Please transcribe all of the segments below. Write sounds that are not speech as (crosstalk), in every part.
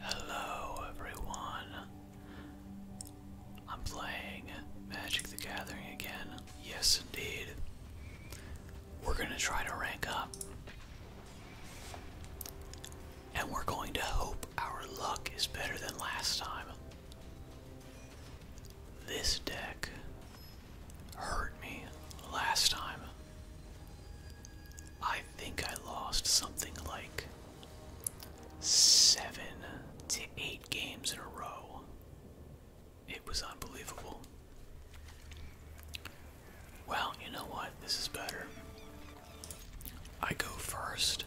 Hello, everyone. I'm playing Magic the Gathering again. Yes, indeed. We're going to try to rank up. And we're going to hope our luck is better than last time. This deck hurt me last time. I think I lost something like seven to eight games in a row. It was unbelievable. Well, you know what? This is better. I go first.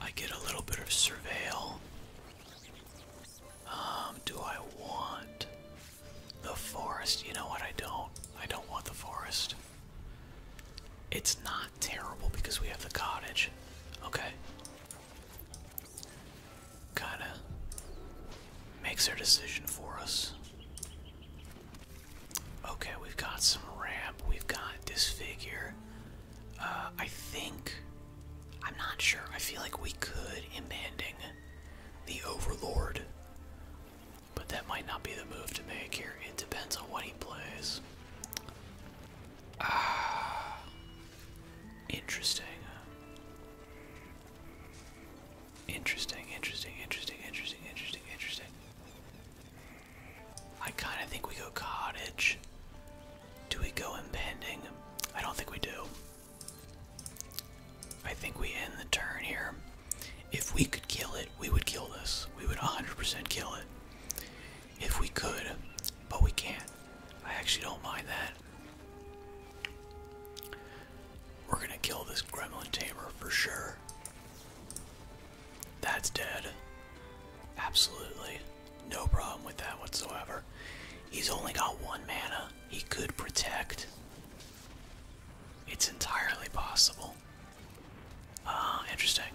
I get a little bit of surveil. Um, do I want the forest? You know what? I don't. I don't want the forest. It's not terrible because we have the cottage. Okay. Kinda makes their decision for us. Okay, we've got some ramp. We've got this figure. Uh, I think. I'm not sure. I feel like we could, impending the Overlord, but that might not be the move to make here. It depends on what he plays. Ah, interesting. Interesting, interesting, interesting, interesting, interesting, I kind of think we go cottage. Do we go impending? I don't think we do. I think we end the turn here. If we could kill it, we would kill this. We would 100% kill it. If we could, but we can't. I actually don't mind that. We're gonna kill this gremlin tamer for sure. That's dead. Absolutely. No problem with that whatsoever. He's only got one mana. He could protect. It's entirely possible level. Ah, uh, interesting.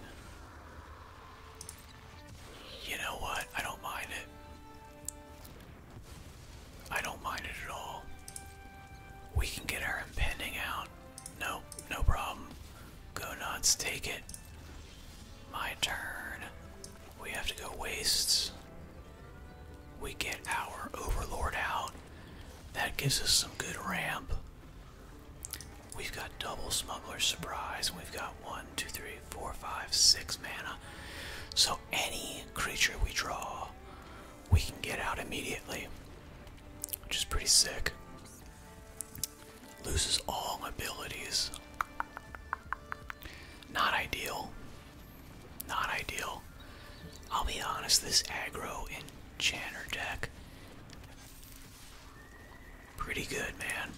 You know what? I don't mind it. I don't mind it at all. We can get our impending out. No, no problem. Go nuts, take it. My turn. We have to go wastes. We get our overlord out. That gives us some good ramp. We've got double smuggler's surprise. We've got one, two, three, four, five, six mana. So any creature we draw, we can get out immediately, which is pretty sick. Loses all abilities. Not ideal. Not ideal. I'll be honest, this aggro in Janner deck. Pretty good, man.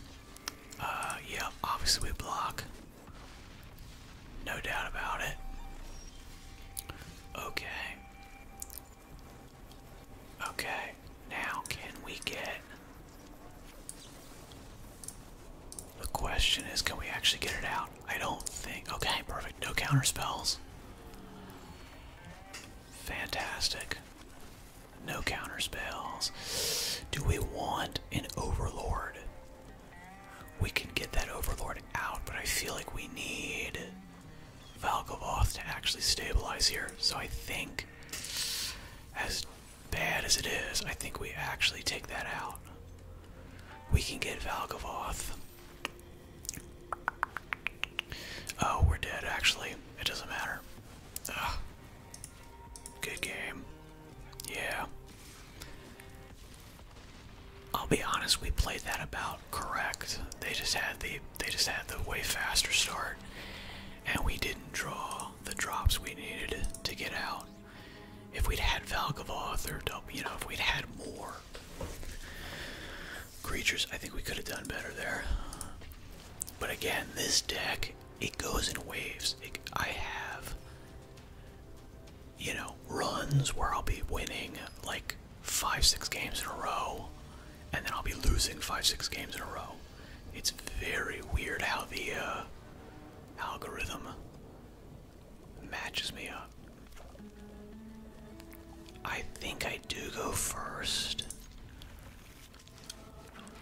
Uh, yeah, obviously we block. No doubt about it. Okay. Okay, now can we get. The question is can we actually get it out? I don't think. Okay, perfect. No counter spells. Fantastic. No counter spells. Do we want an overlord? We can get that overlord out, but I feel like we need Valgavoth to actually stabilize here. So I think, as bad as it is, I think we actually take that out. We can get Valgavoth. Oh, we're dead, actually. It doesn't matter. Good game. Yeah. I'll be honest, we played that about correct. They just had the they just had the way faster start and we didn't draw the drops we needed to get out. If we'd had Valgavoth or you know, if we'd had more creatures. I think we could have done better there. But again, this deck, it goes in waves. I have, you know, runs where I'll be winning like five, six games in a row, and then I'll be losing five, six games in a row. It's very weird how the uh, algorithm matches me up. I think I do go first.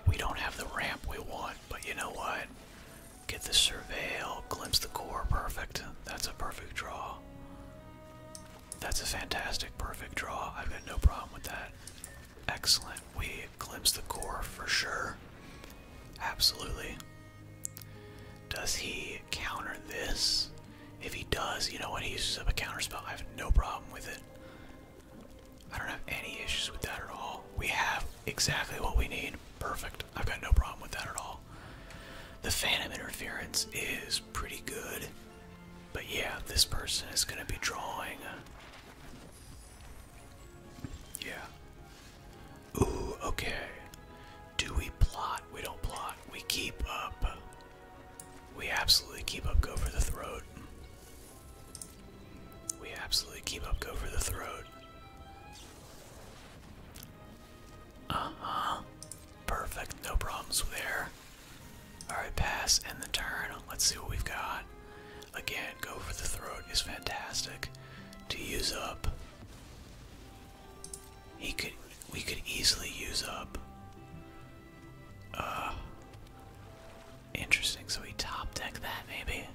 We don't have the ramp we want, but you know what? Get the surveil, glimpse the core, perfect. That's a perfect draw. That's a fantastic perfect draw. I've got no problem with that. Excellent. We glimpse the core for sure. Absolutely. Does he counter this? If he does, you know what? He uses up a counterspell. I have no problem with it. I don't have any issues with that at all. We have exactly what we need. Perfect. I've got no problem with that at all. The Phantom Interference is pretty good. But yeah, this person is going to be drawing. Yeah. Ooh, okay. Do we plot? We don't plot. We keep up. We absolutely keep up, go for the throat. We absolutely keep up, go for the throat. Uh huh. Perfect. No problems there. Alright, pass and the turn. Let's see what we've got. Again, go for the throat is fantastic to use up. He could we could easily use up uh, Interesting, so we top deck that maybe.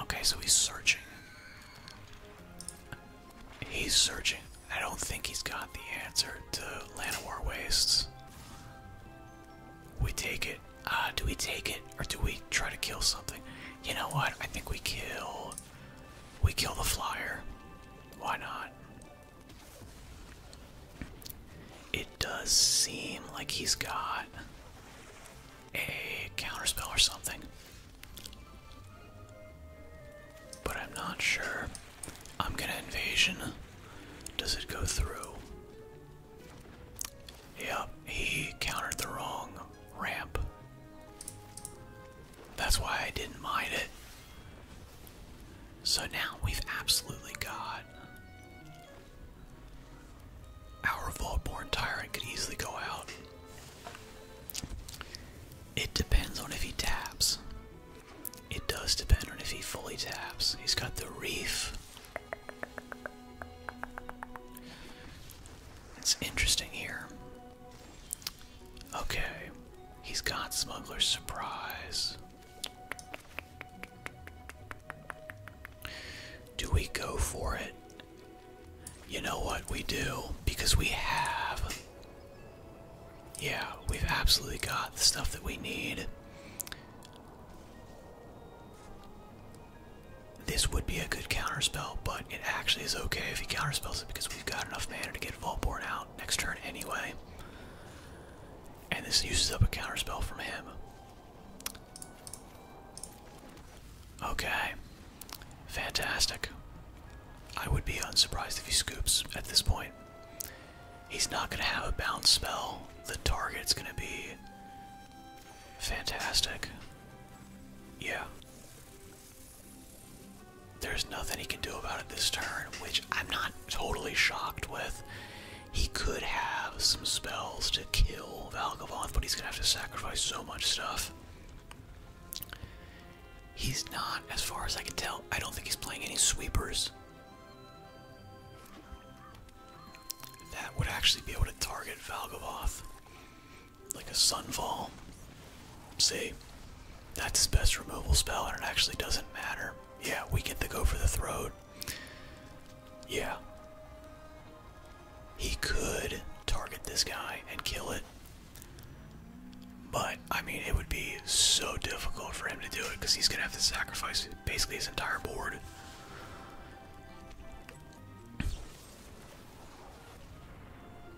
Okay, so he's searching. He's searching. I don't think he's got the answer to Llanowar Wastes. We take it. Uh, do we take it or do we try to kill something? You know what? I think we kill we kill the flyer. Why not? It does seem like he's got a counter spell or something. But I'm not sure. I'm gonna invasion. Does it go through? Yep, he countered the wrong ramp. That's why I didn't mind it. So now we've absolutely got. Our Vaultborn Tyrant could easily go out. It depends on if he taps. It does depend on if he fully taps. He's got the reef. It's interesting here. Okay, he's got Smuggler's Surprise. Do we go for it? You know what we do, because we have. Yeah, we've absolutely got the stuff that we need. This would be a good counter spell, but it actually is okay if he counterspells it because we've got enough mana to get Volborn out next turn anyway. And this uses up a counterspell from him. Okay. Fantastic. I would be unsurprised if he scoops at this point. He's not going to have a bounce spell. The target's going to be fantastic. Yeah. There's nothing he can do about it this turn, which I'm not totally shocked with. He could have some spells to kill Valgavoth, but he's gonna have to sacrifice so much stuff. He's not, as far as I can tell, I don't think he's playing any sweepers. That would actually be able to target Valgavoth like a sunfall. See, that's his best removal spell, and it actually doesn't matter. Yeah, we get to go for the throat. Yeah. He could target this guy and kill it. But, I mean, it would be so difficult for him to do it because he's going to have to sacrifice basically his entire board.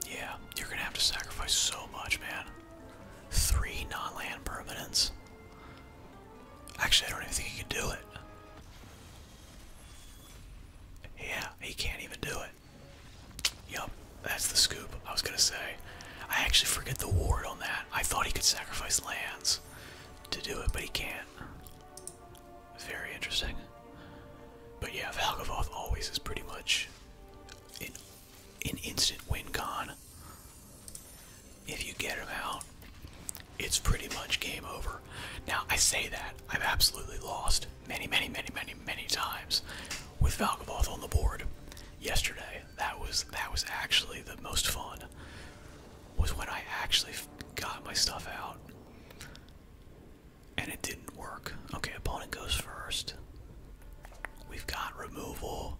Yeah, you're gonna have to sacrifice so much, man. Three non land permanents. Actually, I don't even think he can do it. Yeah, he can't even do it. Yup, that's the scoop. I was gonna say. I actually forget the ward on that. I thought he could sacrifice lands to do it, but he can't. Very interesting. But yeah, Valgavoth always is pretty much in instant win con. If you get them out, it's pretty much game over. Now, I say that. I've absolutely lost many, many, many, many, many times with Valkaboth on the board yesterday. That was, that was actually the most fun, was when I actually got my stuff out. And it didn't work. Okay, opponent goes first. We've got removal.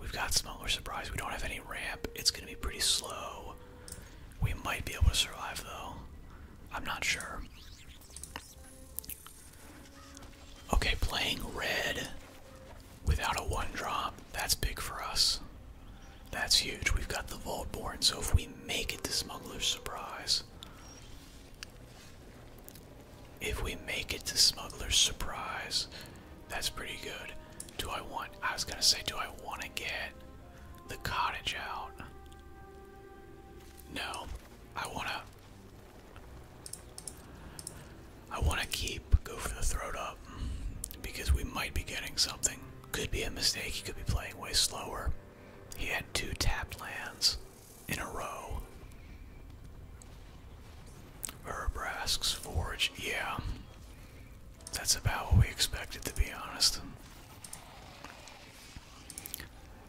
We've got smuggler surprise. We don't have any ramp. It's going to be pretty slow. We might be able to survive though. I'm not sure. Okay, playing red without a one drop. That's big for us. That's huge. We've got the Vaultborn, so if we make it to Smuggler's Surprise, if we make it to Smuggler's Surprise, that's pretty good. Do I want, I was gonna say, do I want to get the cottage out? No, I want to, I want to keep, go for the throat up, because we might be getting something. Could be a mistake, he could be playing way slower. He had two tapped lands in a row. Herbrasks Forge, yeah. That's about what we expected, to be honest.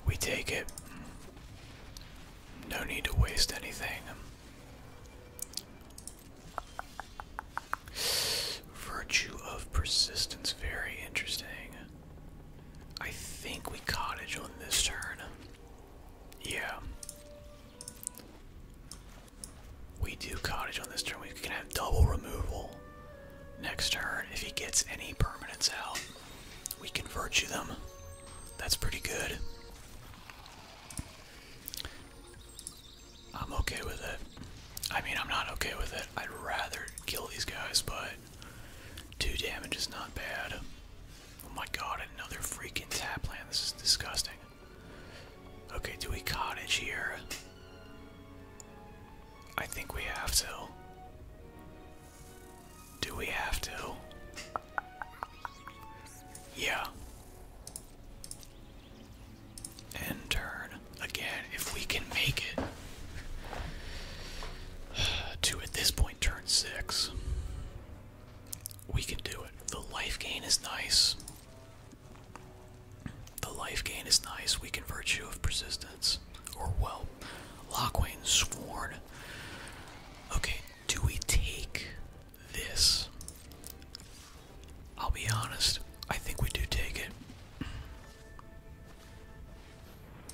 We take it. No need to waste anything. Virtue of persistence, very interesting. I think we cottage on this turn. Yeah. We do cottage on this turn. We can have double removal next turn. If he gets any permanents out, we can virtue them. That's pretty good. I'm okay with it. I mean, I'm not okay with it. I'd rather kill these guys, but Two damage is not bad. Oh my god, another freaking tap land. This is disgusting. Okay, do we cottage here? I think we have to. Do we have to? Yeah. And turn. Again, if we can make it. (sighs) to at this point turn six. We can do it. The life gain is nice. The life gain is nice. We can virtue of persistence. Or well, Lockwain sworn. Okay, do we take this? I'll be honest, I think we do take it.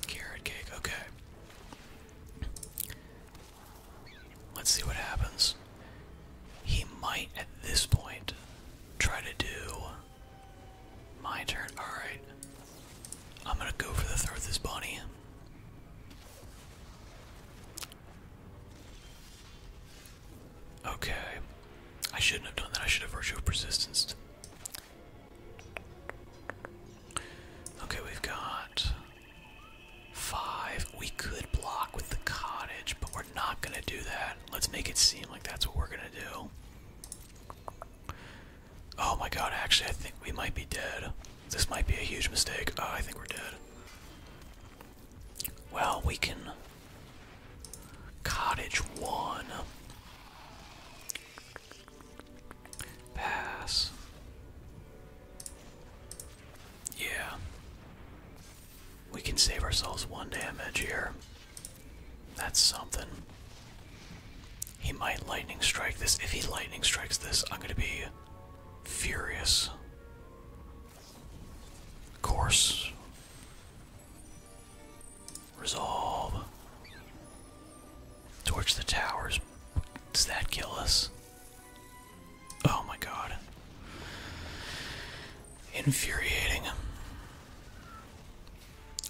Carrot cake, okay. Let's see what happens. He might at this point try to do my turn. Alright. I'm gonna go for the throw of this bunny. Okay. I shouldn't have done that. I should have virtue of persistence. Okay, we've got five. We could block with the cottage, but we're not gonna do that. Let's make it seem like that's what we're gonna do. Oh my god, actually, I think we might be dead. This might be a huge mistake. Ah, I think we're dead. Well, we can. Cottage one. Pass. Yeah. We can save ourselves one damage here. That's something. He might lightning strike this. If he lightning strikes this, I'm gonna be furious. Of course. Resolve. Torch the towers. Does that kill us? Oh my god. Infuriating.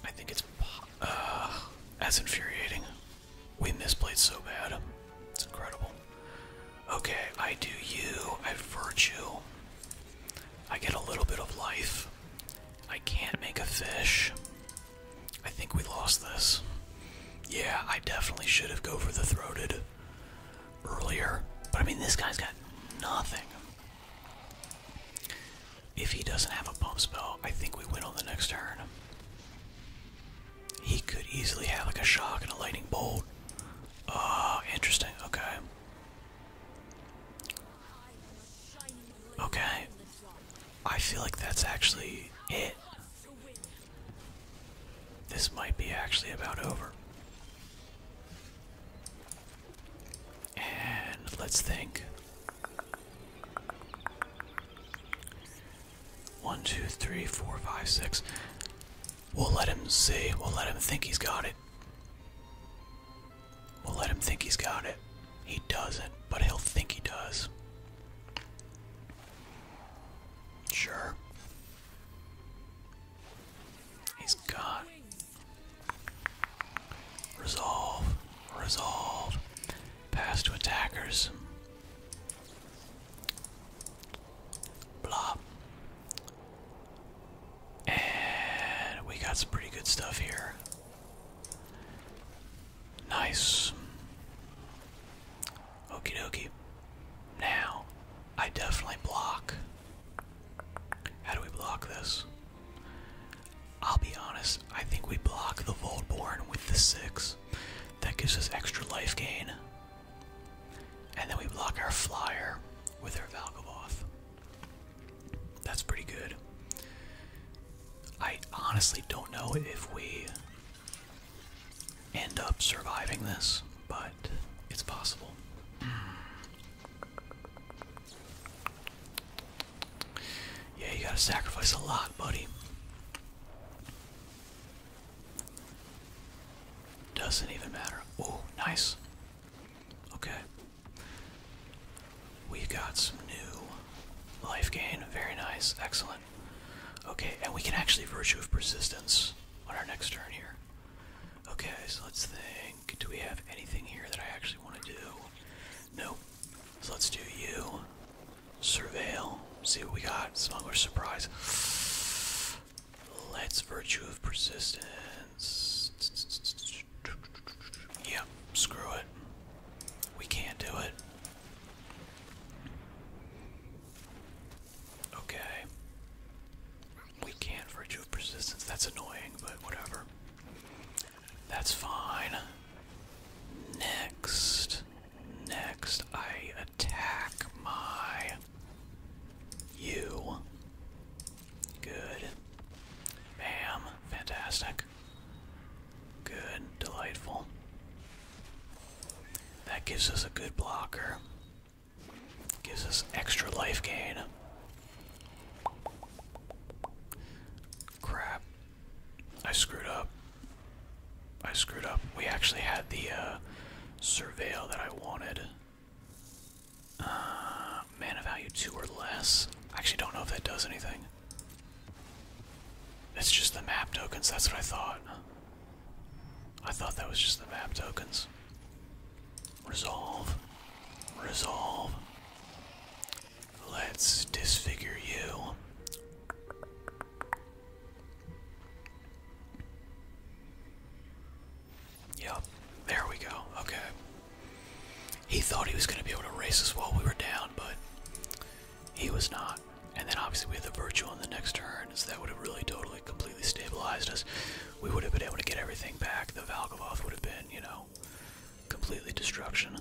I think it's uh, that's infuriating. We misplayed so bad. It's incredible. Okay, I do you. I virtue. I get a little bit of life. I can't make a fish. I think we lost this. Yeah, I definitely should have go for the throated earlier. But I mean, this guy's got nothing. If he doesn't have a bomb spell, I think we win on the next turn. He could easily have like a shock and a lightning bolt. Ah, interesting. Okay. Okay. I feel like that's actually it. This might be actually about over. And let's think. One, two, three, four, five, six. We'll let him see. We'll let him think he's got it. We'll let him think he's got it. He doesn't, but he'll think he does. Sure. He's got. Resolve. Resolve. Pass to attackers. Blah. And we got some pretty good stuff here. Nice. okey dokey. Now, I definitely block. How do we block this? I'll be honest, I think we block the Volborn with the 6. That gives us extra life gain. And then we block our flyer with our Valgavoth. That's pretty good. I honestly don't know if we end up surviving this, but it's possible. Yeah, you gotta sacrifice a lot, buddy. Doesn't even matter. Oh, nice. Okay. We've got some new life gain. Very nice. Excellent. Okay, and we can actually Virtue of Persistence on our next turn here. Okay, so let's think. Do we have anything here that I actually want to do? No. So let's do you. Surveil. See what we got. Smuggler's Surprise. Let's Virtue of Persistence. Yeah, screw it. We can't do it. Okay. We can't for Persistence. That's annoying, but whatever. That's fine. Next. Next, I attack my. You. Good. Bam. Fantastic. Good, delightful. That gives us a good blocker. Gives us extra life gain. Crap. I screwed up. I screwed up. We actually had the uh, surveil that I wanted. Uh, mana value 2 or less. actually don't know if that does anything. It's just the map tokens, that's what I thought. I thought that was just the map tokens. Resolve. Resolve. Let's disfigure you. Yep, there we go. Okay. He thought he was going to be able to race us while we were down, but he was not. And then obviously we had the virtual in the next turn, so that would have really totally completely stabilized us. We would have been able to get everything back. The Valgavoth would have been, you know, completely destruction.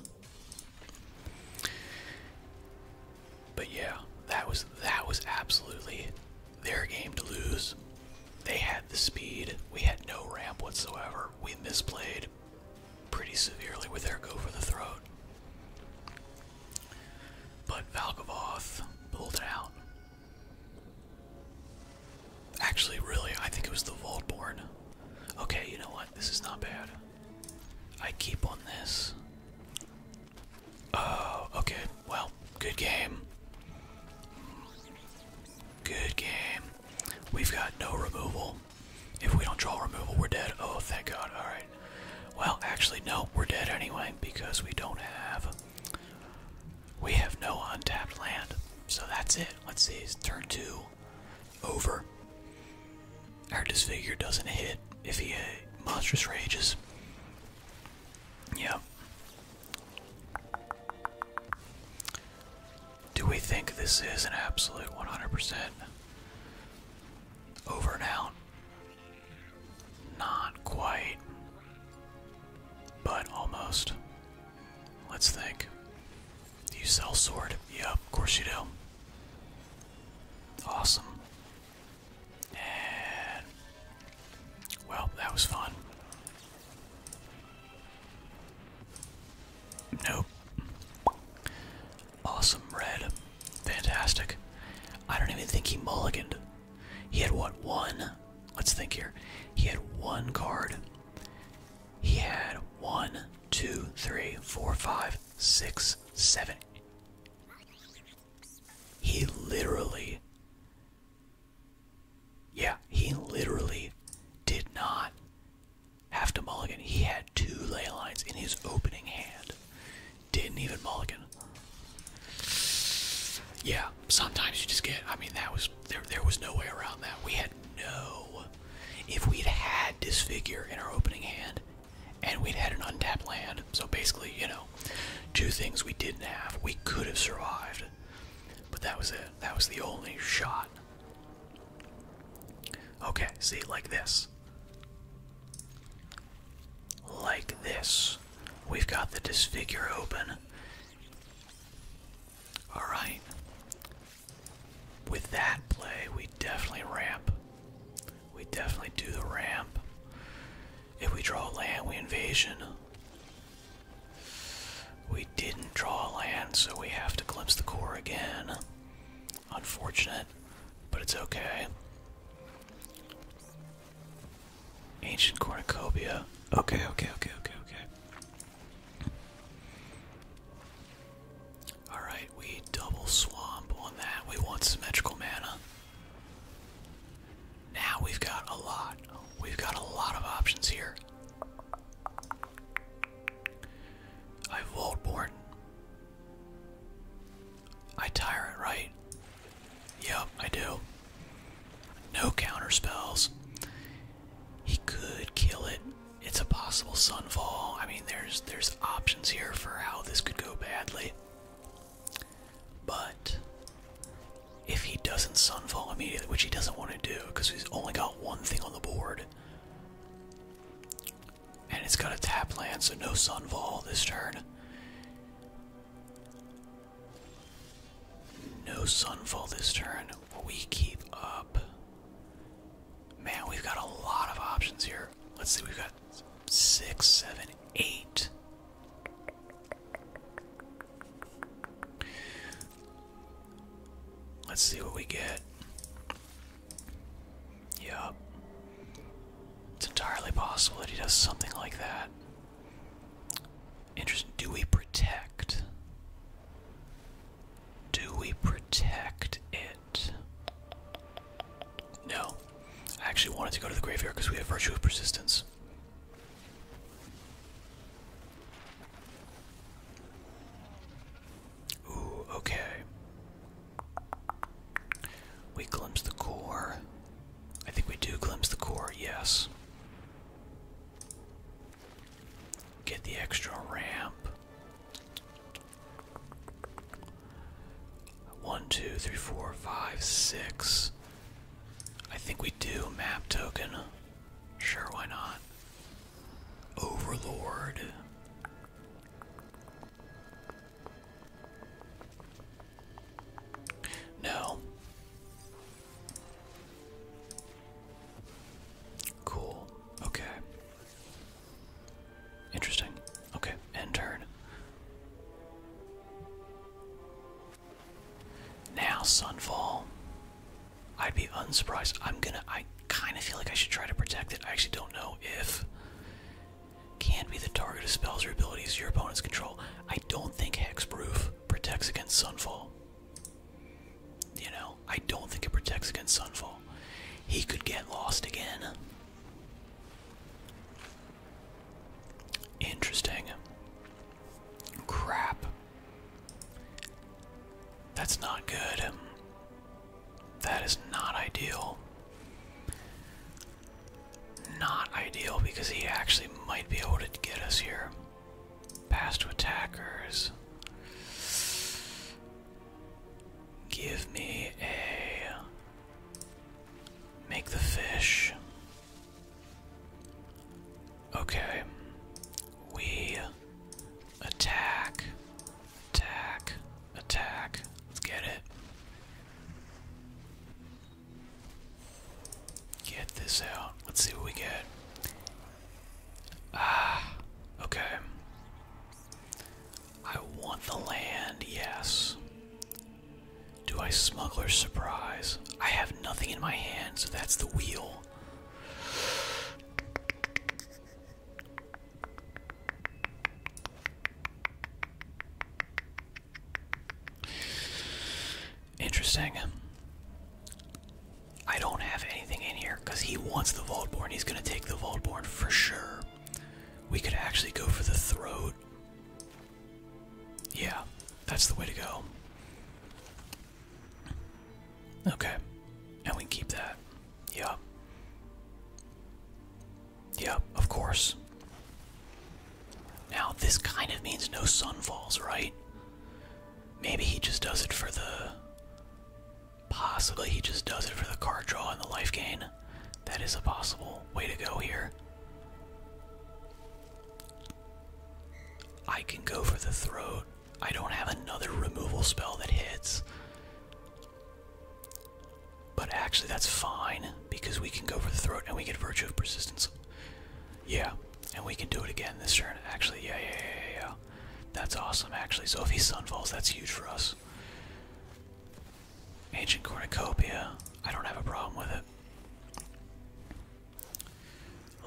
But yeah, that was that was absolutely their game to lose. They had the speed. We had no ramp whatsoever. We misplayed pretty severely with their go for the throat. But Valgavoth pulled it out. Actually, really, I think it was the Vaultborn. Okay, you know what? This is not bad. I keep on this. Oh, okay. Well, good game. Good game. We've got no removal. If we don't draw removal, we're dead. Oh, thank God. Alright. Well, actually, no, we're dead anyway because we don't have. We have no untapped land. So that's it. Let's see. turn two. Over. Our disfigure doesn't hit if he uh, monstrous rages. Yep. Do we think this is an absolute 100% over and out? Not quite, but almost. Let's think. Do you sell sword? Yep, of course you do. Awesome. And well, that was fun. Nope. Awesome red. Fantastic. I don't even think he mulliganed. He had what, one? Let's think here. He had one card. He had one, two, three, four, five, six, seven. He literally. Yeah, he literally did not have to mulligan. He had two laylines in his opening hand. Didn't even mulligan. Yeah, sometimes you just get. I mean, that was there. There was no way around that. We had no. If we'd had disfigure in our opening hand, and we'd had an untapped land, so basically, you know, two things we didn't have. We could have survived, but that was it. That was the only shot. Okay, see, like this. Like this. We've got the disfigure open. Alright. With that play, we definitely ramp. We definitely do the ramp. If we draw land, we invasion. We didn't draw land, so we have to glimpse the core again. Unfortunate, but it's okay. Ancient cornucopia. Okay, okay, okay, okay, okay. Alright, we double swamp on that. We want symmetrical mana. Now we've got a lot. We've got a lot of options here. I I Volborn. I it right? Yep, I do. No counter spells. He could kill it. It's a possible Sunfall. I mean, there's there's options here for how this could go badly. But if he doesn't Sunfall immediately, which he doesn't want to do because he's only got one thing on the board, and it's got a tap land, so no Sunfall this turn. No Sunfall this turn. We keep up. Man, we've got a lot of options here. Let's see, we've got six, seven, eight. Let's see what we get. Yup. It's entirely possible that he does something like that. Interesting. Do we protect? Do we protect it? No. I actually wanted to go to the graveyard because we have Virtue of Persistence. Ooh, okay. We glimpse the core. I think we do glimpse the core, yes. Get the extra ramp. One, two, three, four, five, six. I think we do map token. Sure, why not? Overlord. No. Cool. Okay. Interesting. Okay, end turn. Now, Sunfall. I'd be unsurprised. I'm gonna. I kind of feel like I should try to protect it. I actually don't know if can be the target of spells or abilities your opponents control. I don't think hexproof protects against sunfall. You know, I don't think it protects against sunfall. He could get lost again. Interesting. Crap. That's not good. That is not ideal. Not ideal because he actually might be able to get us here. Pass to attackers. Give me a. Make the fish. Okay. We Attack. Attack. Attack. Let's get it. Get this out. Let's see what we get. Ah, okay. I want the land, yes. Do I smuggler surprise? I have nothing in my hand, so that's the wheel. Interesting. I don't have anything in here because he wants the vaultborn. He's going to take the vaultborn for sure. We could actually go for the throat. Yeah, that's the way to go. Okay. And we keep that. Yeah. Yep, of course. Now, this kind of means no sun falls, right? Maybe he just does it for the. Possibly he just does it for the card draw and the life gain. That is a possible way to go here. I can go for the throat. I don't have another removal spell that hits. But actually, that's fine because we can go for the throat and we get Virtue of Persistence. Yeah, and we can do it again this turn. Actually, yeah, yeah, yeah, yeah. That's awesome, actually. So if sun falls, that's huge for us. Ancient Cornucopia. I don't have a problem with it.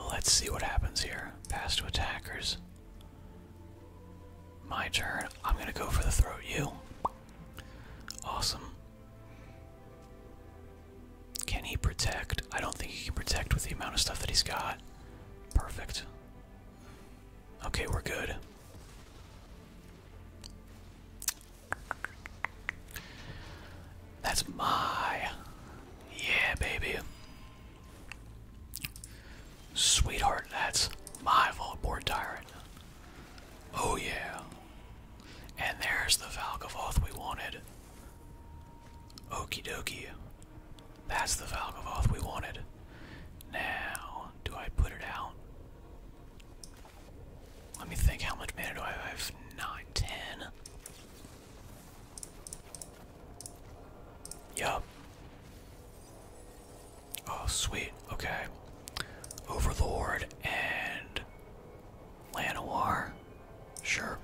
Let's see what happens here. Pass to attackers. My turn. I'm going to go for the throat you. Awesome. Can he protect? I don't think he can protect with the amount of stuff that he's got. Perfect. Okay, we're good. That's my. Yeah, baby. Sweetheart, that's my Volborg Tyrant. Oh yeah. And there's the Valkavoth we wanted. Okey dokey. That's the Valkavoth we wanted. Now, do I put it out? Let me think, how much mana do I have? 9, 10. Yeah. Oh, sweet. Okay. Overlord and Lanoir. Sure.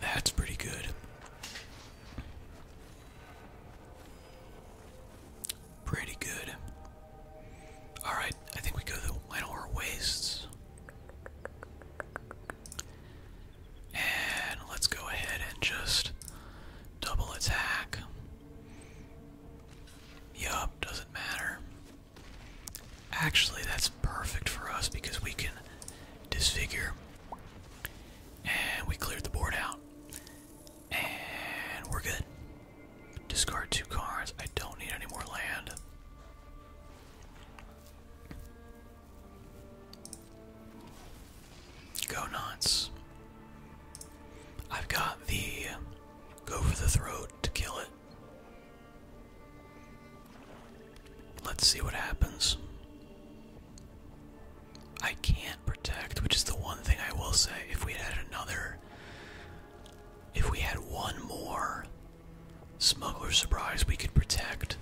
That's pretty good. Pretty good. Alright, I think we go to the Llanowar Wastes. And let's go ahead and just double attack. Yup, doesn't matter. Actually, that's perfect for us because we can disfigure. And we cleared the board out. And we're good. Discard two cards. I don't need any more land. Go nuts. I've got the go for the throat to kill it. Let's see what happens. I can't protect, which is the one thing I will say. If we had another if we had one more smuggler surprise, we could protect.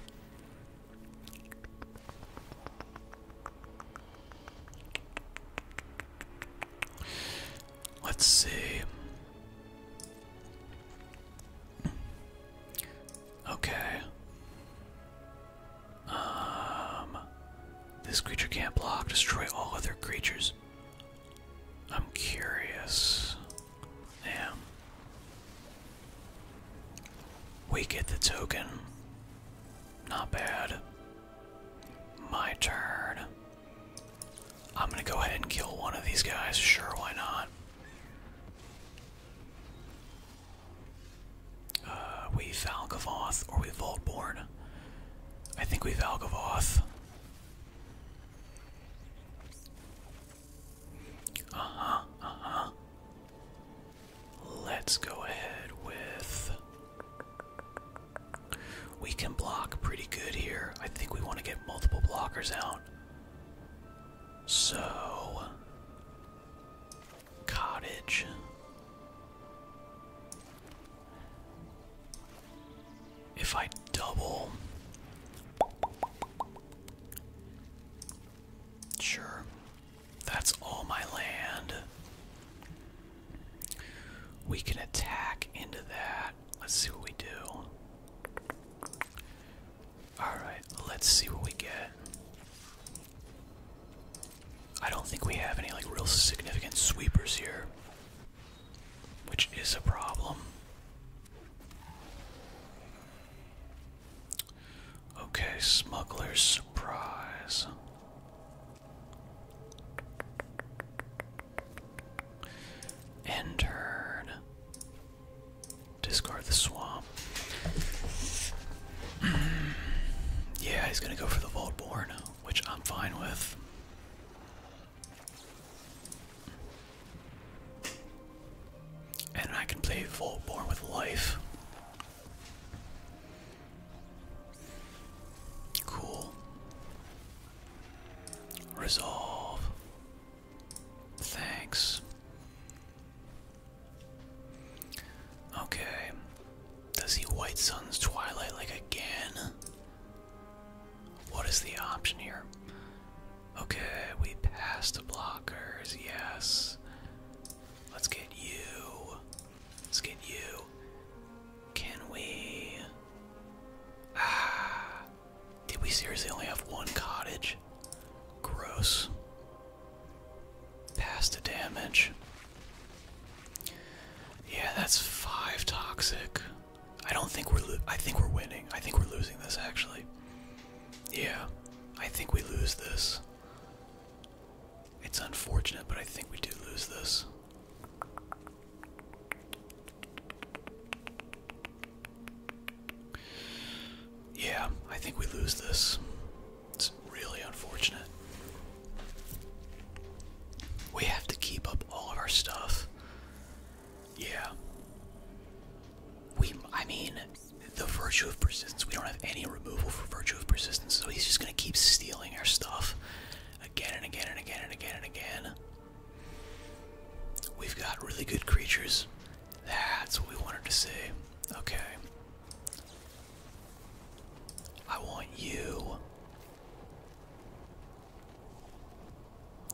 Let's see. Okay. Um. This creature can't block. Destroy all other creatures. I'm curious. Yeah. We get the token. Not bad. My turn. I'm gonna go ahead and kill one of these guys. Sure, why not? Uh, we Valgavoth or we Voltborn. I think we Valgavoth. Uh-huh, uh-huh. Let's go ahead with we can block pretty good here. I think we want to get multiple blockers out. So cottage if I double. Sure. That's all my land. We can attack into that. Let's see what we do. Alright, let's see what we get. I don't think we have any like real significant sweepers here which is a problem. Okay, smuggler's surprise. End turn. Discard the swamp. (clears throat) yeah, he's gonna go for the Vaultborn, which I'm fine with. And I can play Volborn with life. Cool. Resolve. Thanks. Okay. Does he White Sun's Twilight like again? What is the option here? Okay, we passed the blockers, yes. Let's get you. Let's get you. Can we. Ah. Did we seriously only have one cottage? Gross. Pass the damage. Yeah, that's five toxic. I don't think we're. I think we're winning. I think we're losing this actually. Yeah, I think we lose this. It's unfortunate, but I think we do lose this. Yeah, I think we lose this. It's really unfortunate. We have to keep up all of our stuff. Yeah. We, I mean, the virtue of persistence. We don't have any removal for virtue of persistence, so he's just gonna keep stealing our stuff again and again and again and again and again. We've got really good creatures. That's what we wanted to see. Okay. I want you.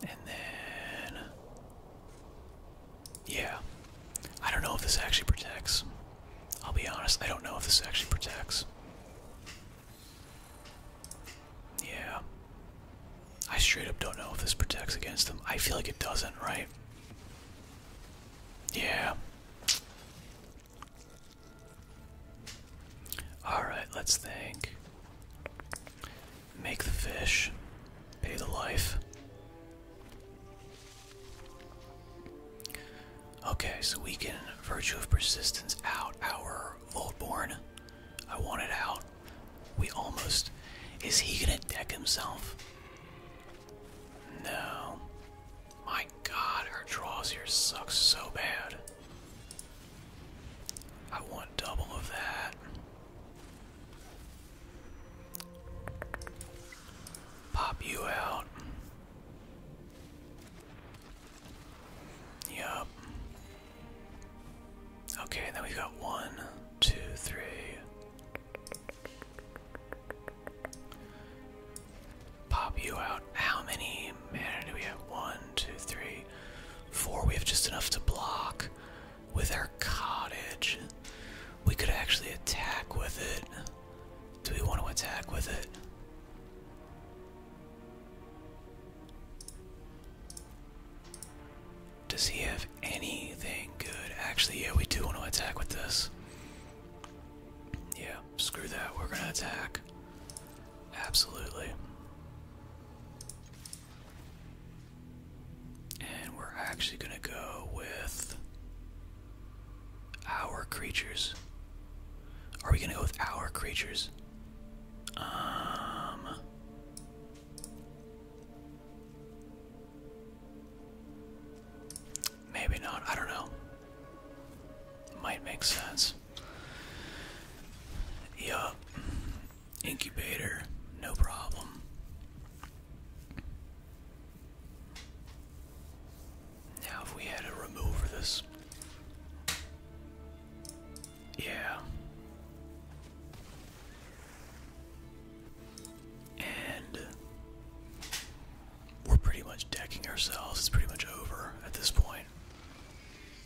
And then. Yeah. I don't know if this actually protects. I'll be honest, I don't know if this actually protects. Yeah. I straight up don't know if this protects against them. I feel like it doesn't, right? Yeah. Alright, let's think. Make the fish. Pay the life. Okay, so we can Virtue of Persistence out our Voltborn. I want it out. We almost. Is he gonna deck himself? No. My god, our draws here sucks so bad. I want double of that. Pop you out. Yup. Okay, and then we've got one, two, three pop you out. How many mana do we have? One, two, three, four. We have just enough to block with our cottage. We could actually attack with it. Do we want to attack with it? Does he have anything good? Actually, yeah, we do want to attack with this. Yeah, screw that. We're going to attack. Absolutely. And we're actually going to go with our creatures. Are we going to go with our creatures? Um Maybe not. I don't know. Might make sense this. Yup. Incubator, no problem. Now, if we had a remover, this. Yeah. And we're pretty much decking ourselves. It's pretty much over at this point.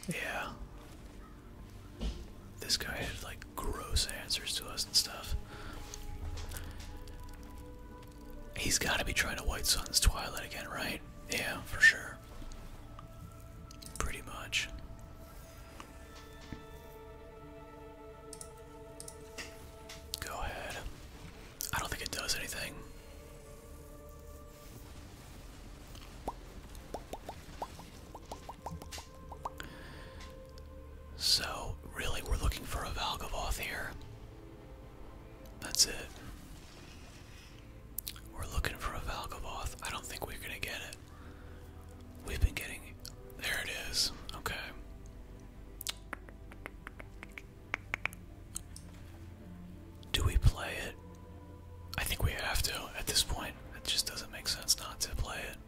Yeah. This guy had like gross answers to us and stuff. He's gotta be trying to White Sun's Twilight again, right? Yeah, for sure. Pretty much. Go ahead. I don't think it does anything. So, really, we're looking for a Valgavoth here. That's it. We're looking for a Valgavoth. I don't think we're gonna get it. We've been getting. There it is. Okay. Do we play it? I think we have to at this point. It just doesn't make sense not to play it.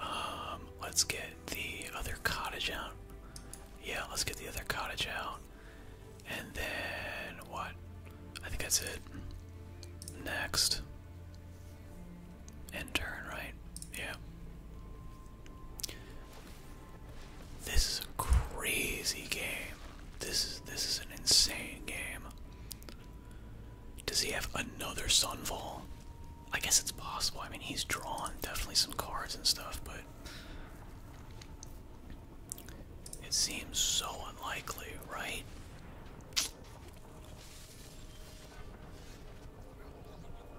Um, let's get the other cottage out. Yeah, let's get the other cottage out. And then what? I think that's it. Next. turn, right? Yeah. This is a crazy game. This is this is an insane game. Does he have another Sunfall? I guess it's possible. I mean, he's drawn definitely some cards and stuff, but it seems so unlikely, right?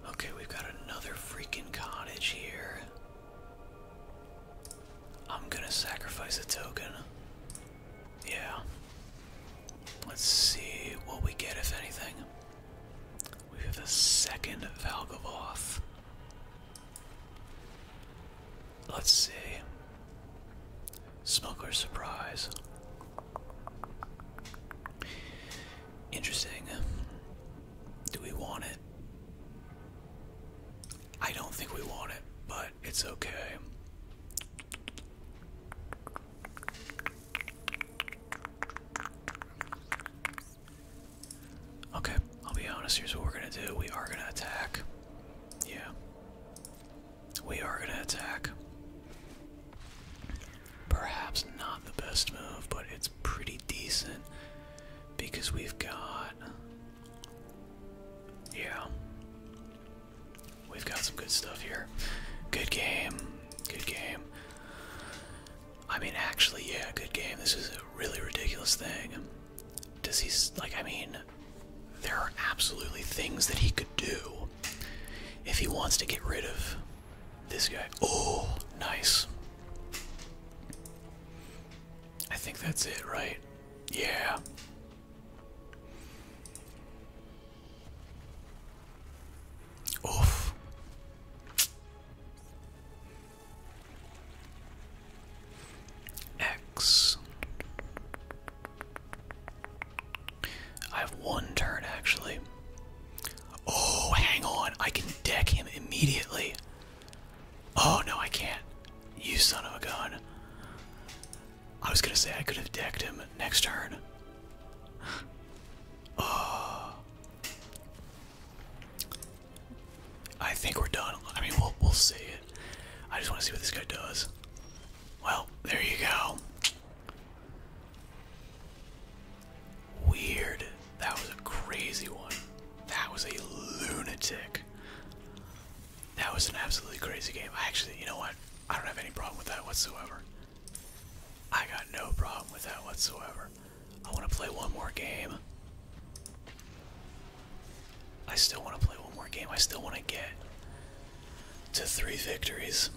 Okay, we've got another freaking cottage here. I'm gonna sacrifice a token. Yeah. Let's see what we get, if anything. We have a second Valgavoth. Let's see. Smuggler surprise. Interesting. Do we want it? I don't think we want it, but it's okay. Okay, I'll be honest, here's what we're gonna do. We are gonna attack. Yeah. We are gonna attack. Perhaps not the best move, but it's pretty decent because we've got. Yeah. We've got some good stuff here. Good game. Good game. I mean, actually, yeah, good game. This is a really ridiculous thing. Does he. Like, I mean, there are absolutely things that he could do if he wants to get rid of this guy. Oh, nice. I think that's it, right? Yeah. Oof. X. I have one turn actually. Oh, hang on. I can deck him immediately. Oh, no, I can't. You son of a gun. I was gonna say I could have decked him next turn. Uh, I think we're done. I mean, we'll, we'll see it. I just want to see what this guy does. Well, there you go. Weird. That was a crazy one. That was a lunatic. That was an absolutely crazy game. actually, you know what? I don't have any problem with that whatsoever. I got no problem with that whatsoever. I want to play one more game. I still want to play one more game. I still want to get to three victories.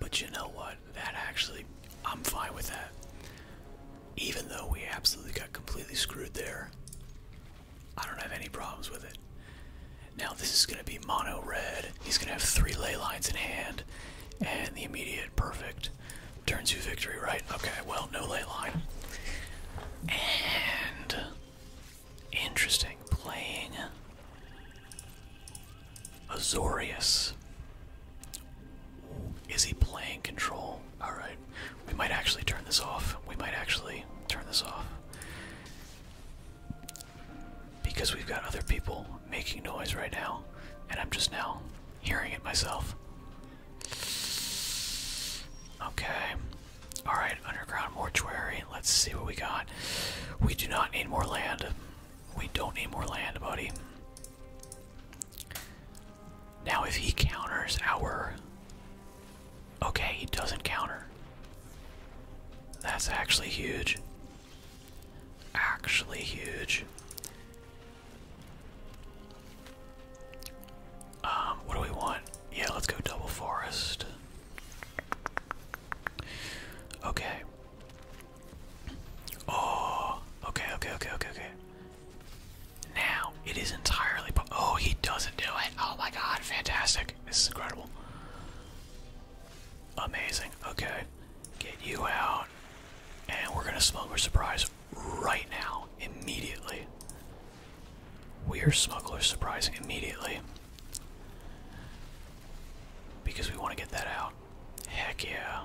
But you know what? that actually, I'm fine with that. Even though we absolutely got completely screwed there, I don't have any problems with it. Now, this is going to be mono red. He's going to have three ley lines in hand, and the immediate perfect turns two victory, right? Okay, well, no ley line. And. Interesting. Playing Azorius. Is he playing control? Alright. We might actually turn this off. We might actually turn this off. Because we've got other people making noise right now, and I'm just now hearing it myself. Okay. Alright, underground mortuary. Let's see what we got. We do not need more land. We don't need more land, buddy. Now, if he counters our. Okay, he doesn't counter. That's actually huge. Actually huge. Um, what do we want? Yeah, let's go double forest. Okay. Oh, okay, okay, okay, okay, okay. Now it is entirely. Oh, he doesn't do it. Oh my god, fantastic. This is incredible. Amazing. Okay, get you out. And we're gonna smuggler surprise right now, immediately. We are smuggler surprising immediately. Because we want to get that out. Heck yeah.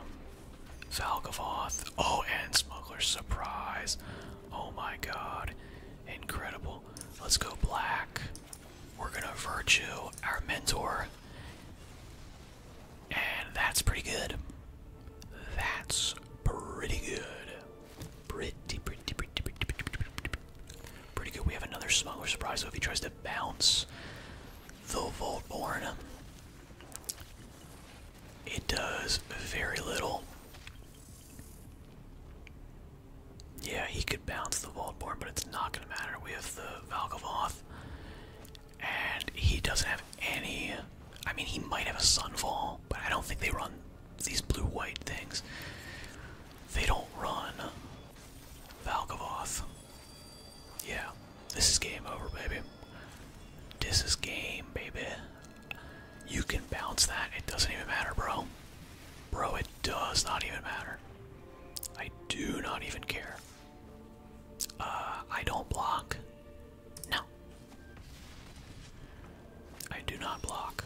Valgavoth. Oh, and Smuggler's Surprise. Oh my god. Incredible. Let's go black. We're gonna Virtue, our mentor. And that's pretty good. That's pretty good. Pretty, good. We have another Smuggler Surprise, so if he tries to bounce the him. It does very little. Yeah, he could bounce the Voldborn, but it's not going to matter. We have the Valgavoth, and he doesn't have any. I mean, he might have a Sunfall, but I don't think they run these blue white things. They don't run Valgavoth. Yeah, this is game over, baby. This is game, baby. You can bounce that. It doesn't even matter, bro. Bro, it does not even matter. I do not even care. Uh, I don't block. No. I do not block.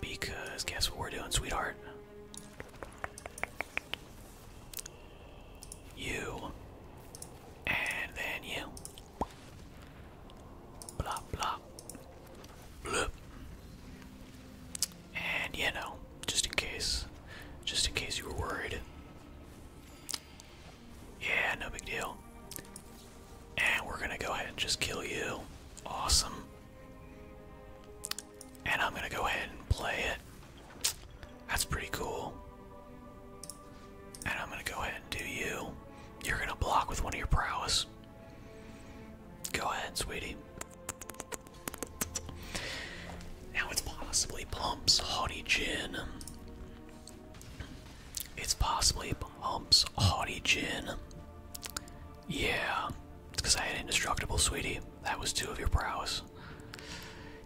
Because guess what we're doing, sweetheart? You. And then you. Blah, blah. Bloop. And you know, just in case. Just in case you were worried. Yeah, no big deal. And we're gonna go ahead and just kill you. Awesome. And I'm gonna go ahead and play it. That's pretty cool. And I'm gonna go ahead and do you. You're gonna block with one of your prowess. Go ahead, sweetie. Now it's possibly Plump's Haughty Gin. It's possibly Plump's Haughty Gin. Yeah, it's because I had Indestructible, sweetie. That was two of your prowess.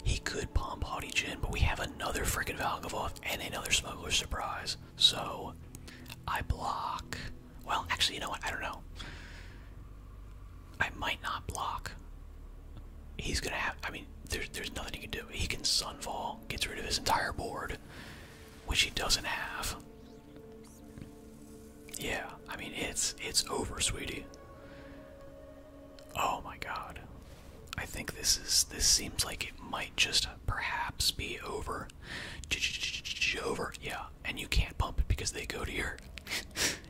He could bomb Haughty Jin, but we have another freaking Valgavoth and another Smuggler's Surprise. So, I block. Well, actually, you know what? I don't know. I might not block. He's gonna have. I mean, there's there's nothing he can do. He can Sunfall, gets rid of his entire board, which he doesn't have. Yeah, I mean it's it's over, sweetie. Oh my god. I think this is this seems like it might just perhaps be over. Over, yeah. And you can't pump it because they go to your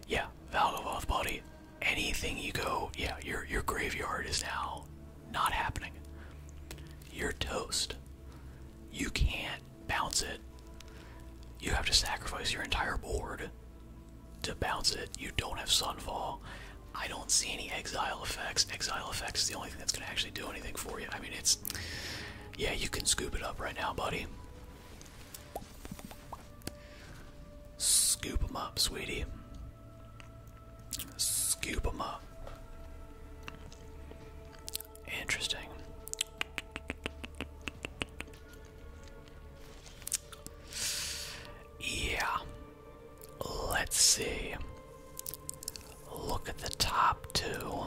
yeah, valve off body. Anything you go, yeah, your your graveyard is now not happening. You're toast. You can't bounce it. You have to sacrifice your entire board to bounce it. You don't have Sunfall. I don't see any exile effects. Exile effects is the only thing that's going to actually do anything for you. I mean, it's. Yeah, you can scoop it up right now, buddy. Scoop them up, sweetie. Scoop them up. Interesting. Yeah. Let's see. Look at the top two.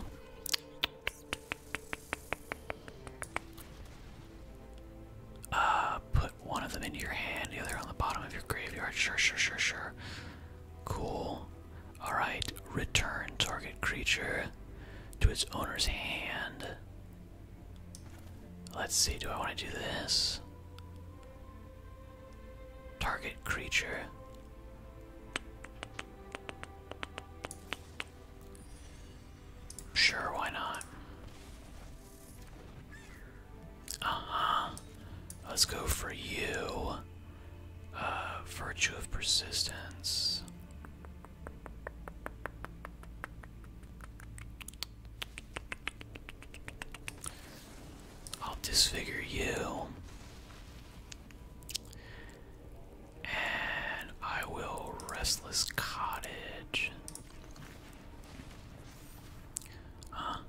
Uh, put one of them into your hand, the other on the bottom of your graveyard. Sure, sure, sure, sure. Cool. Alright, return target creature to its owner's hand. Let's see, do I want to do this? Target creature. Sure, why not? Uh huh. Let's go for you. Uh, virtue of Persistence. I'll disfigure you. And I will restless cottage. huh.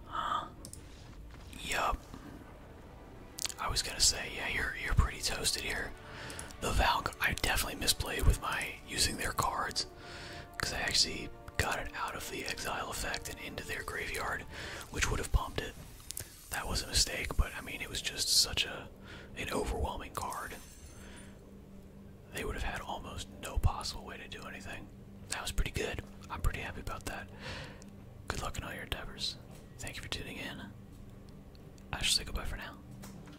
Yup. I was gonna say, yeah, you're you're pretty toasted here. The Valk I definitely misplayed with my using their cards because I actually got it out of the exile effect and into their graveyard, which would have pumped it. That was a mistake, but I mean it was just such a an overwhelming card. They would have had almost no possible way to do anything. That was pretty good. I'm pretty happy about that. Good luck in all your endeavors. Thank you for tuning in. I should say goodbye for now.